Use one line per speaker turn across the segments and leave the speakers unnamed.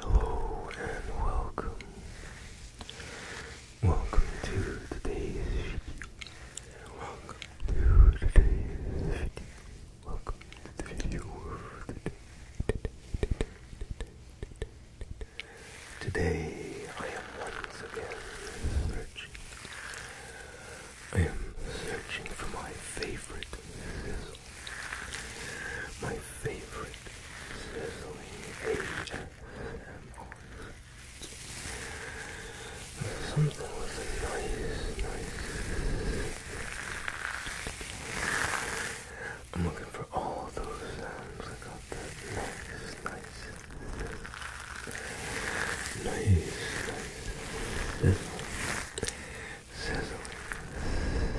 Hello and welcome. Welcome to today's Welcome to today's Welcome to the video of today. Today I am once again searching. I am searching for my favorite sizzle my favorite sizzling ASMR. Something with a nice, nice. I'm looking for all those sounds. I got that nice, nice, nice, nice, sizzling, sizzling.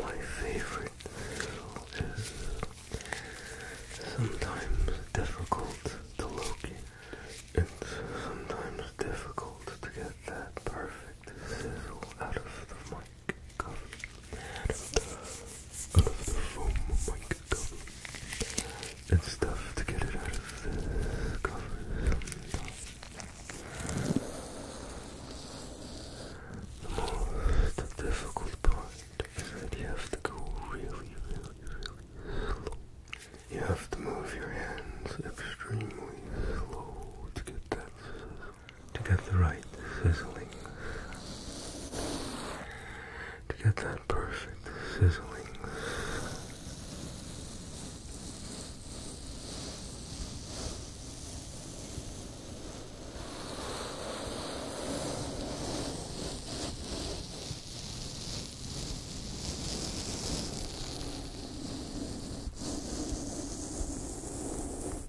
My favorite is sometimes difficult to locate and sometimes difficult to get that perfect
sizzle out of the mic of the foam mic and stuff to get it out of the cover. The more difficult part is that you have to go really, really, really slow. You have to move your hands extremely slow to get that to get the right sizzling to get that perfect sizzling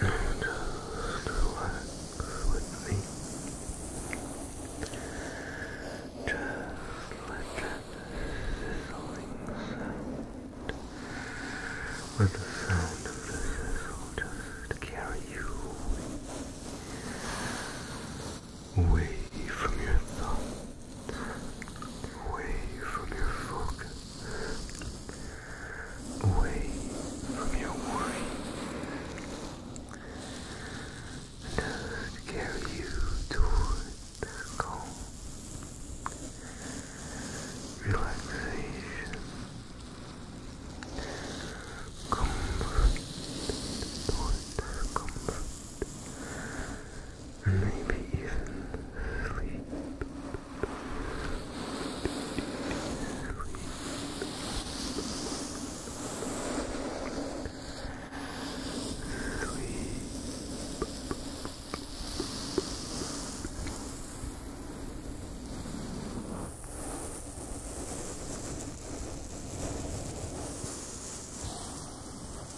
And just relax with me. Just let that sizzling sound. Let the sound of the sizzle just carry you away from your thoughts away from your focus, away from your worry, and just carry you toward calm
relaxation, comfort, toward comfort and maybe even sleep. Sleep. sleep.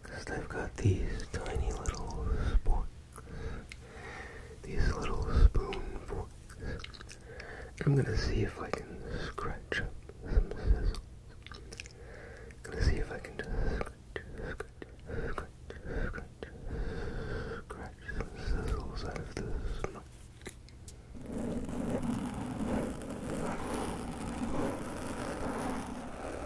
because i have got these tiny little spoons, these little spoon forks. I'm gonna see if I can scratch up some sizzle. Gonna see if I can scratch, scratch, scratch, scratch, some sizzles out of this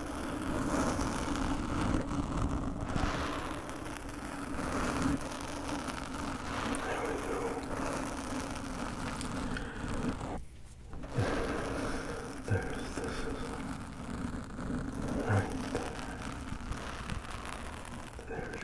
There we go. There's this is right there. There it is.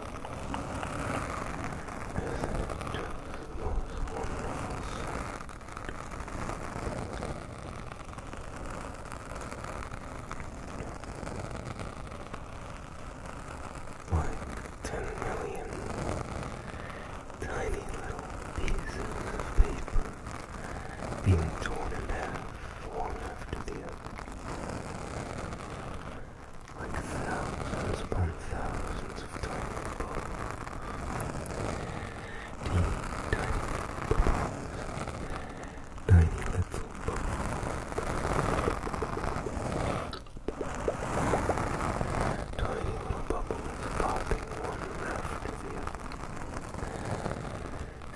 Like ten million tiny little pieces of paper being torn in half one after the other like thousands upon thousands of tiny bubbles. tiny bubbles. Tiny little bubbles. Tiny little bubbles popping one after the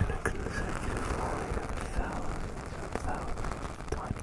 a consecutive line of thousands and thousands of tiny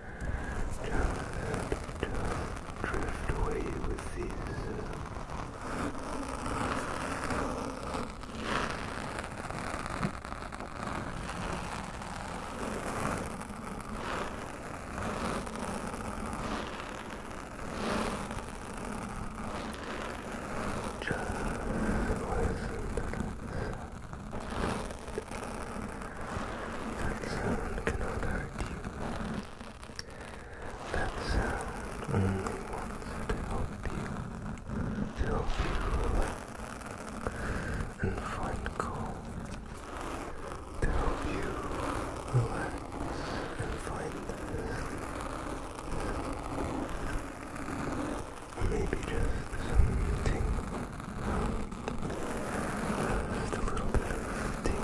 Don't, drift away with these. Just listen to that sound cannot hurt you. That sound only wants to help you, help you and find calm, to help you relax find sleep. maybe just some just a little bit of tingling. There's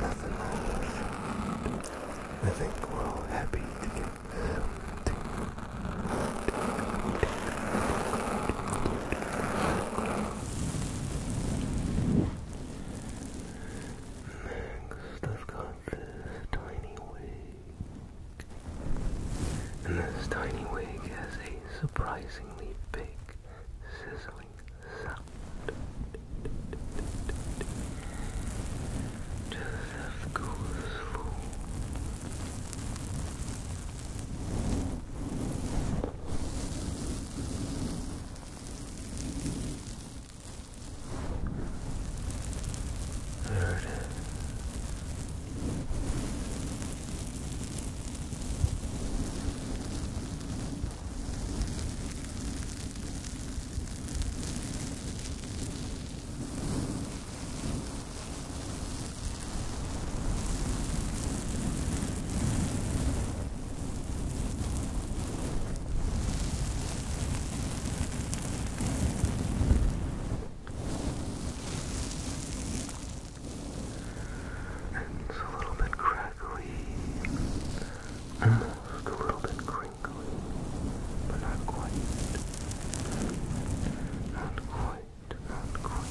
nothing wrong with it. I think we're all happy to get something. Next, I've got this tiny wig. And this tiny wig has a surprisingly big sizzling sound. Just as cool fool.
Third. It's a little bit crackly, almost a little bit crinkly, but not quite. Not quite, not quite, not quite.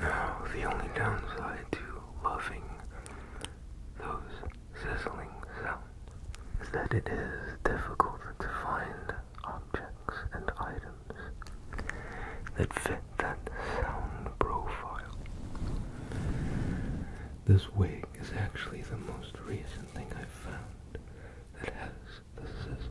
Now, the only downside to loving those sizzling sounds is that it is difficult to find objects and items that fit that sound profile. This wig is actually the most recent thing I've found that has the sizzle.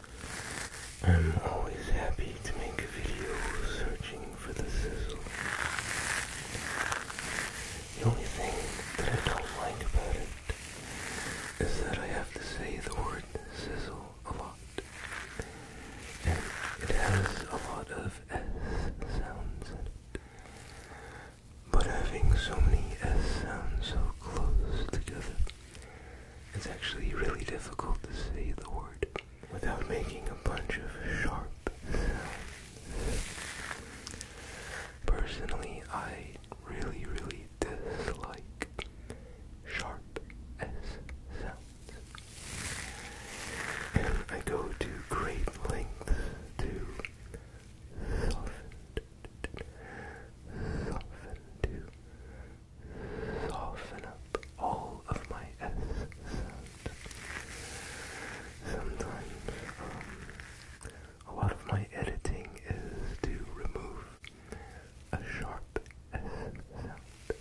I'm always happy to make a video searching for the sizzle. The only thing that I don't like about it is that I have to say the word sizzle a lot. And it has a lot of S sounds in it. But having so many S sounds so close together it's actually really difficult to say the word without making a bunch of sharp sounds. Personally, I really, really dislike sharp S sounds. I go to great lengths to soften, soften, to soften up all of my S sound. Sometimes, um, a lot of my editing is to remove a sharp S sound.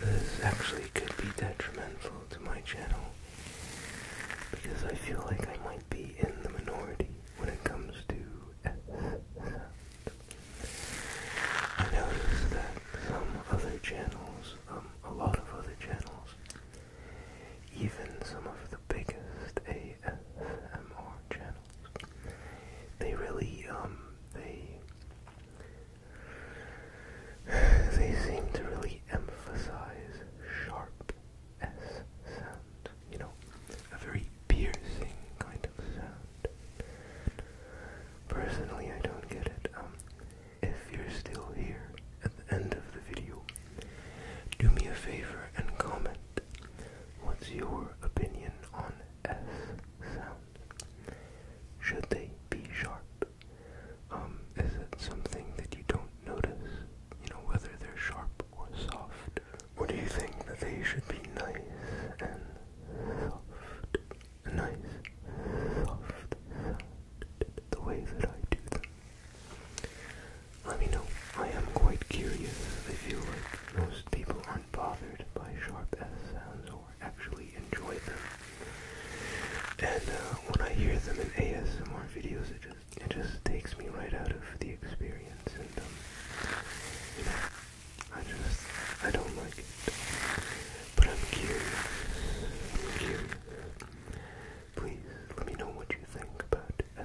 This actually could be detrimental to my channel because I feel like I might be in the minority when it comes to I notice that some other channels, um, a lot of other channels, even some of the biggest ASMR channels, they really, um, they, they seem to really emphasize sharp S sound, you know, a very piercing kind of sound. Personally, I don't get it. Um, if you're still here at the end of the video, do me a favor and comment what's your opinion on S sound. Should they be sharp? Um, is it something that you don't notice? You know, whether they're sharp or soft? Or do you think that they should be nice and soft? Nice, soft, the way that I do them. Let me know. I am quite curious. I feel like most people aren't bothered by sharp S sounds or actually enjoy them. And uh, when I hear them in ASMR videos, it it just takes me right out of the experience, and um, I just I don't like it. But I'm curious. I'm curious. Please let me know what you think about. Uh,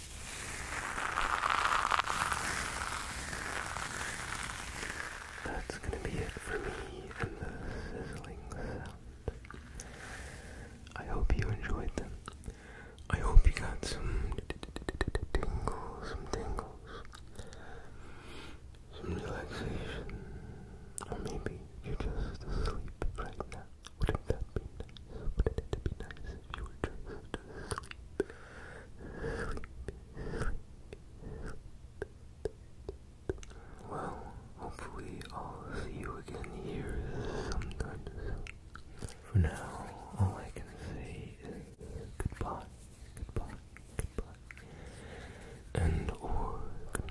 That's gonna be it for me and the sizzling sound. I hope you enjoyed them. I hope you got some tingles, some tingles, some relaxation, or maybe you're just asleep right now. Wouldn't that be nice? Wouldn't it be nice if you were just asleep? Well, hopefully I'll see you again here sometime For now, all I can say is goodbye, goodbye, goodbye, and or good night.